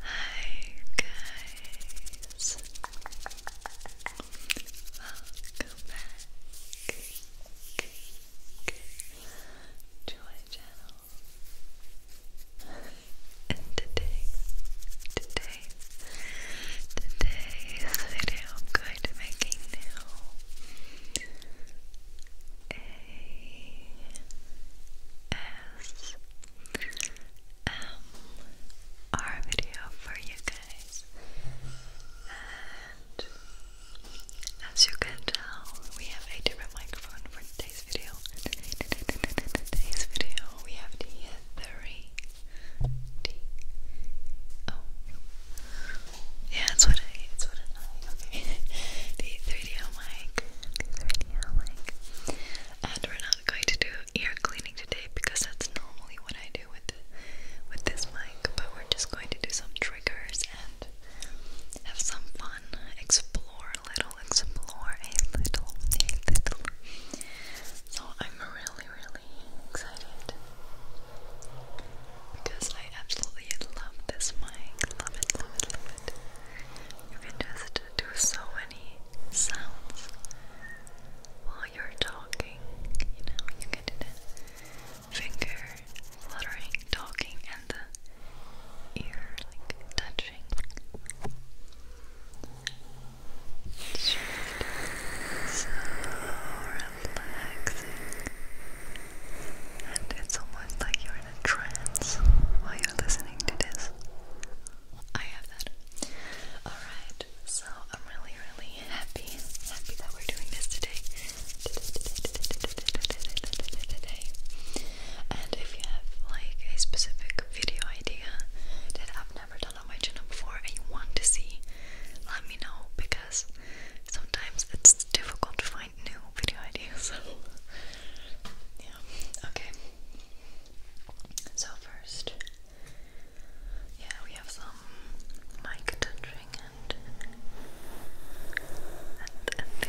Hi guys. Welcome back to my channel. today, today today. Today's video I'm going to be making now a S M R video for you guys. And as you can tell, we have a different microphone for today's video. Today's video we have the Three D oh. O. Yeah, that's what I. It's what I. Okay. D three D O oh mic. three D O oh mic. And we're not going to do ear cleaning today because that's normally what I do with with this mic. But we're just going to do some triggers and have some fun. Explore a little. Explore a little. A little. So I'm really really, really excited because I absolutely love this mic. Love it, love it, love it. You can just do so many sounds while you're talking. You know, you can do the finger fluttering, talking, and the ear like touching. It's just And it's almost like you're in a trance while you're listening to this. I have that. Alright, so I'm really, really happy, happy that we're doing this today. And if you have like a specific video idea that I've never done, done on my channel before and you want to see, let me know because sometimes it's difficult to find new video ideas. yeah, okay. So, first, yeah, we have some mic touching and and, and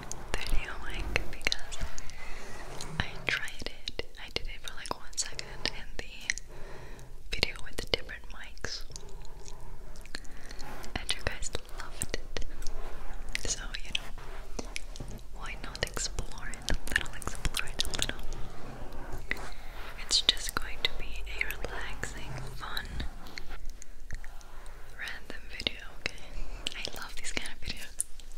video mic because I tried it. I did it for like one second in the video with the different mics. And you guys loved it. So, you know, why not explore it a little? Explore it a little. It's just going to be a relaxing, fun, random video, okay? I love these kind of videos.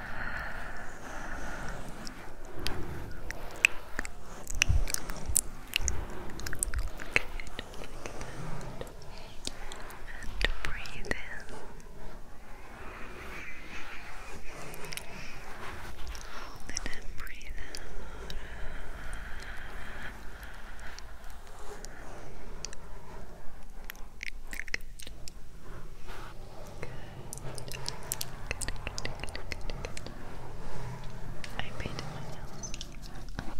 And breathe in. Hold it and breathe out. Good. Good, good, good, good, good. I painted my nails. Okay. Okay.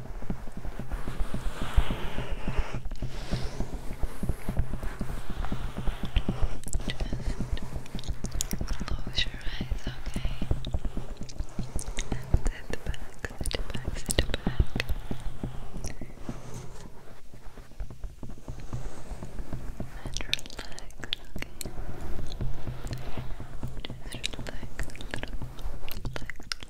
Just close your eyes, okay? And sit back, sit back, sit back. And relax, okay? Just relax a little, relax,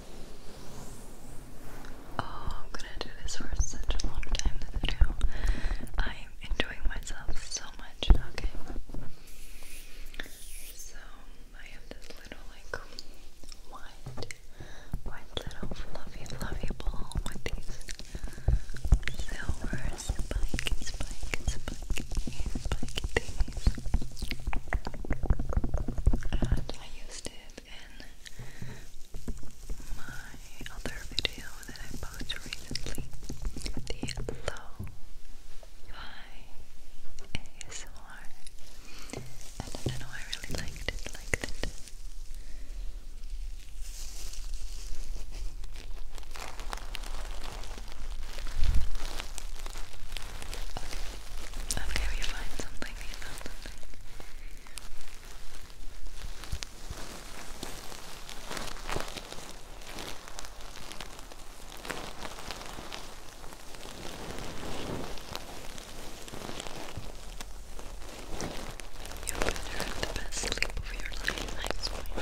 Oh, I'm gonna do this for such a long time, this video. I'm enjoying myself so much, okay? So, I have this little, like, white, white little fluffy, fluffy ball with these silver spike, spike, spike, spike things and I used it in my other video that I posted recently the low fi ASMR and I know, I really liked it like that Okay, we find something, we found something. You better have the best sleep of your life, I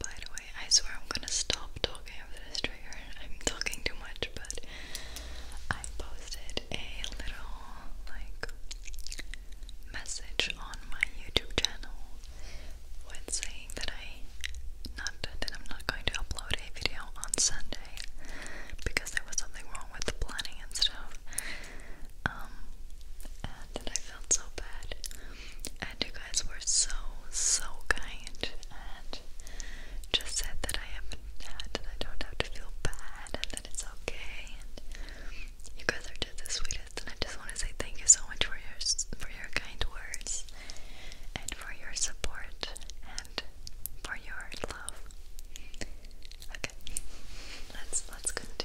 By the way, I swear I'm gonna stop talking after this trigger. I'm talking too much, but I posted a little like message on my YouTube channel with saying that I not that I'm not going to upload a video on Sunday because there was something wrong with the planning and stuff. Um, and I felt so bad. And you guys were so, so kind and just said that I haven't I don't have to feel bad and that it's okay. And you guys are just the sweetest, and I just want to say thank you so much for your for your kind words and for your support and for your love. Okay, let's let's continue.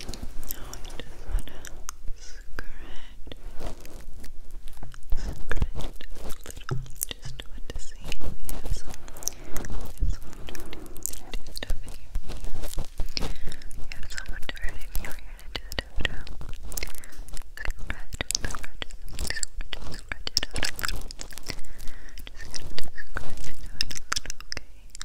Now I just wanna scratch, scratch a little, just want to see if you have some, if someone dirty stuff in your ear. You have someone dirty in your ear and just have to scratch, scratch, scratch, scratch it out a little. Just gonna scratch it out a little, okay?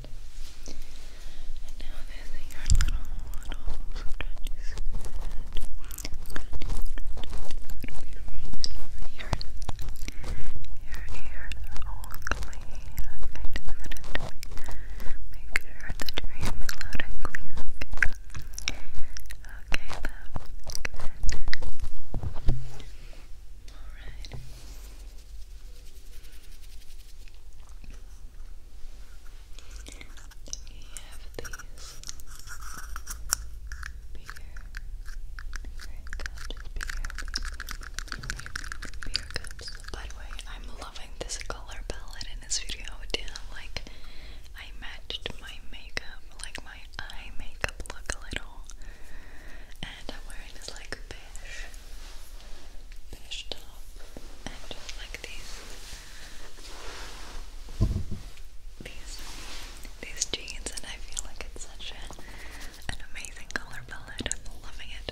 And now using your little, little scratchy scratch. Scratchy scratch. Gonna be right over here. Your ears are all clean. Okay, just gonna make sure that your ears are loud and clean. Okay. Okay, that's good. Alright. We have these beer, beer cups, beer, cups. By the way, I'm loving this color palette in this video. Damn, like I matched my makeup, like my eye makeup look a little, and I'm wearing this like beige finished up and just like these these these jeans and I feel like it's such an amazing color palette. I'm loving it.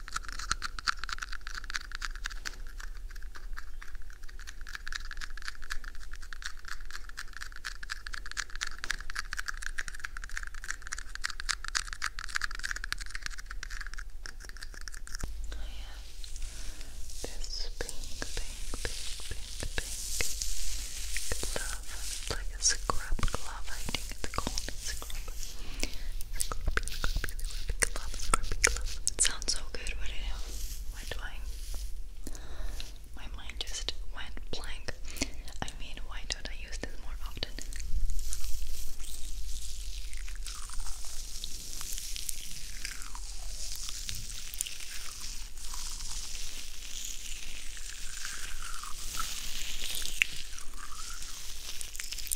This pink, pink, pink, pink, pink glove. Uh, like a scrub glove. I think it's called. It sounds so good, what do you I? My mind just went blank. I mean, why don't I use this more often?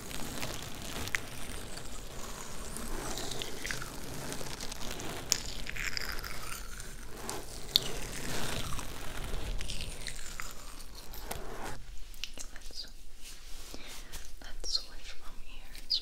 Let's, let's switch from ears. Let's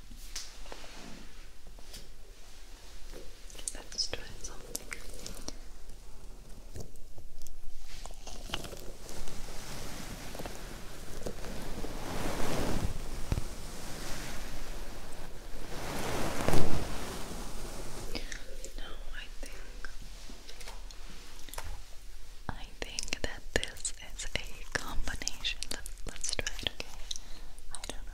Let's try something. No, I think I think that this it's a combination. Let's try okay? I don't know.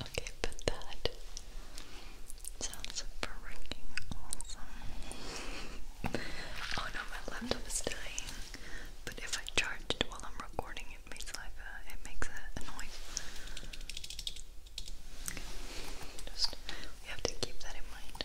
Okay, but that sounds freaking awesome. oh no, my laptop is dying. But if I charge it while I'm recording, it makes like uh, it makes a, a Just we have to keep that in mind.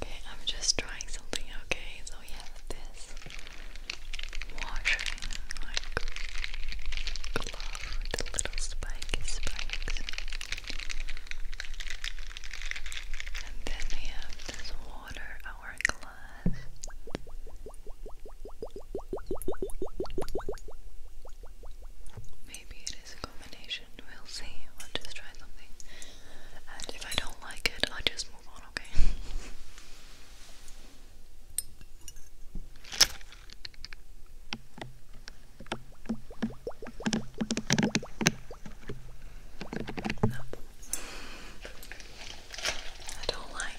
Okay, I'm just trying something, okay? So we have this washing glove with little spikes. And then we have this water hourglass. Maybe it is a combination, we'll see. I'll just try something. And if I don't like it, I'll just move on, okay? No. I don't like it.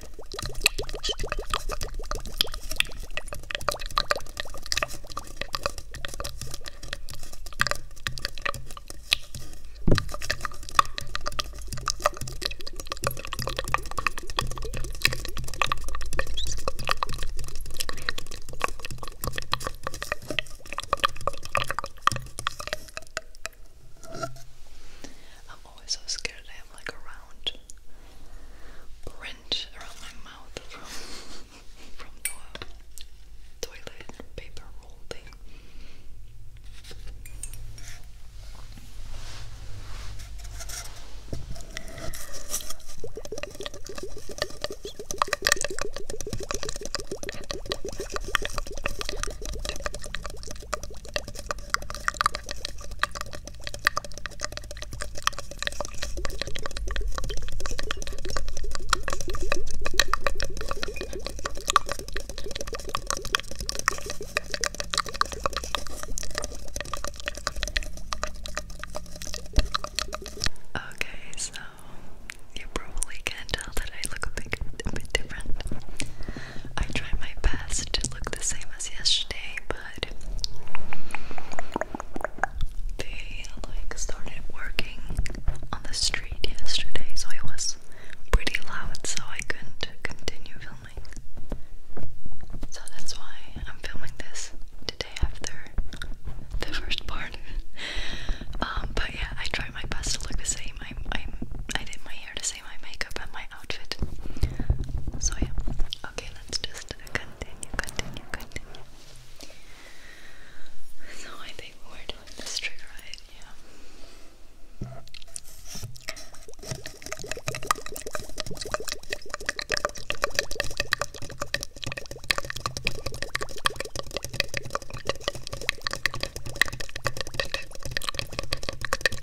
I'm always so scared I am like around wrench around my mouth from from the toilet paper roll thing. Okay, so you probably can tell that I look a bit, a bit different. I try my best to look the same as yesterday, but they like started working on the street yesterday, so it was pretty loud, so I couldn't continue filming. So that's why I'm filming this today after the first part. Um, but yeah, I tried my best to look the same. i i I did my hair to say my makeup and my outfit. So yeah. Okay, let's just continue, continue, continue. So I think we're doing this trigger right, yeah.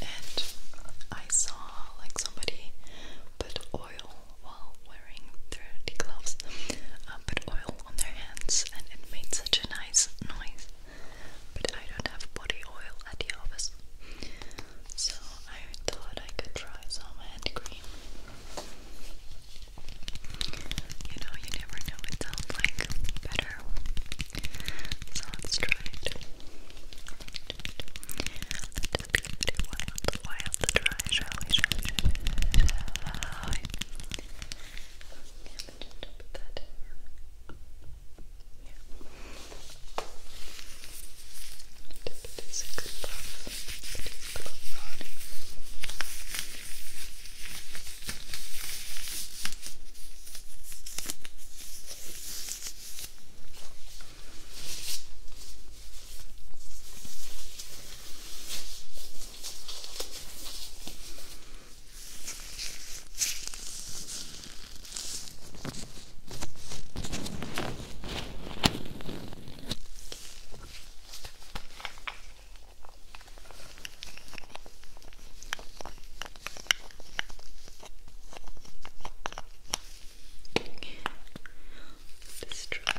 and I saw like somebody put oil while wearing dirty gloves, uh, put oil on their hands and it made such a nice noise. But I don't have body oil at the office, so I thought I could try some hand cream. You know, you never know it sounds like better. So let's try it. Let's give it wild, I shall, I shall, I shall, I shall, I shall. Yeah, but just to put that in yeah. To put this glove on, put this glove on. Okay. Distract.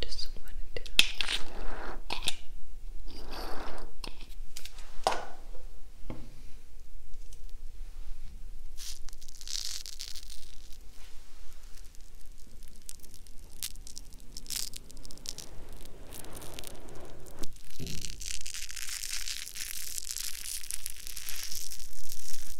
Just want to do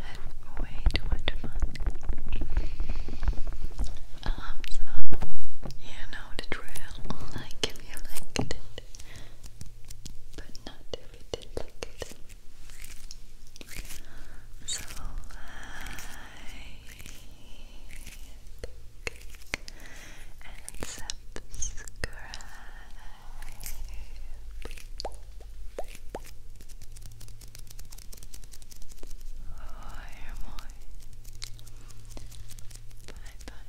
had way too Um, so, you know the drill, like if you liked it, but not if you didn't like it. So, like and subscribe. Ay, amor. Bye bye.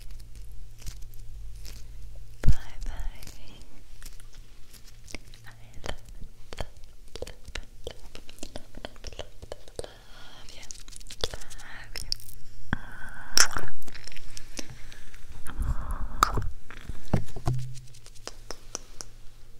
Bye bye. I love, love, love, love, love, love, love you. Love you.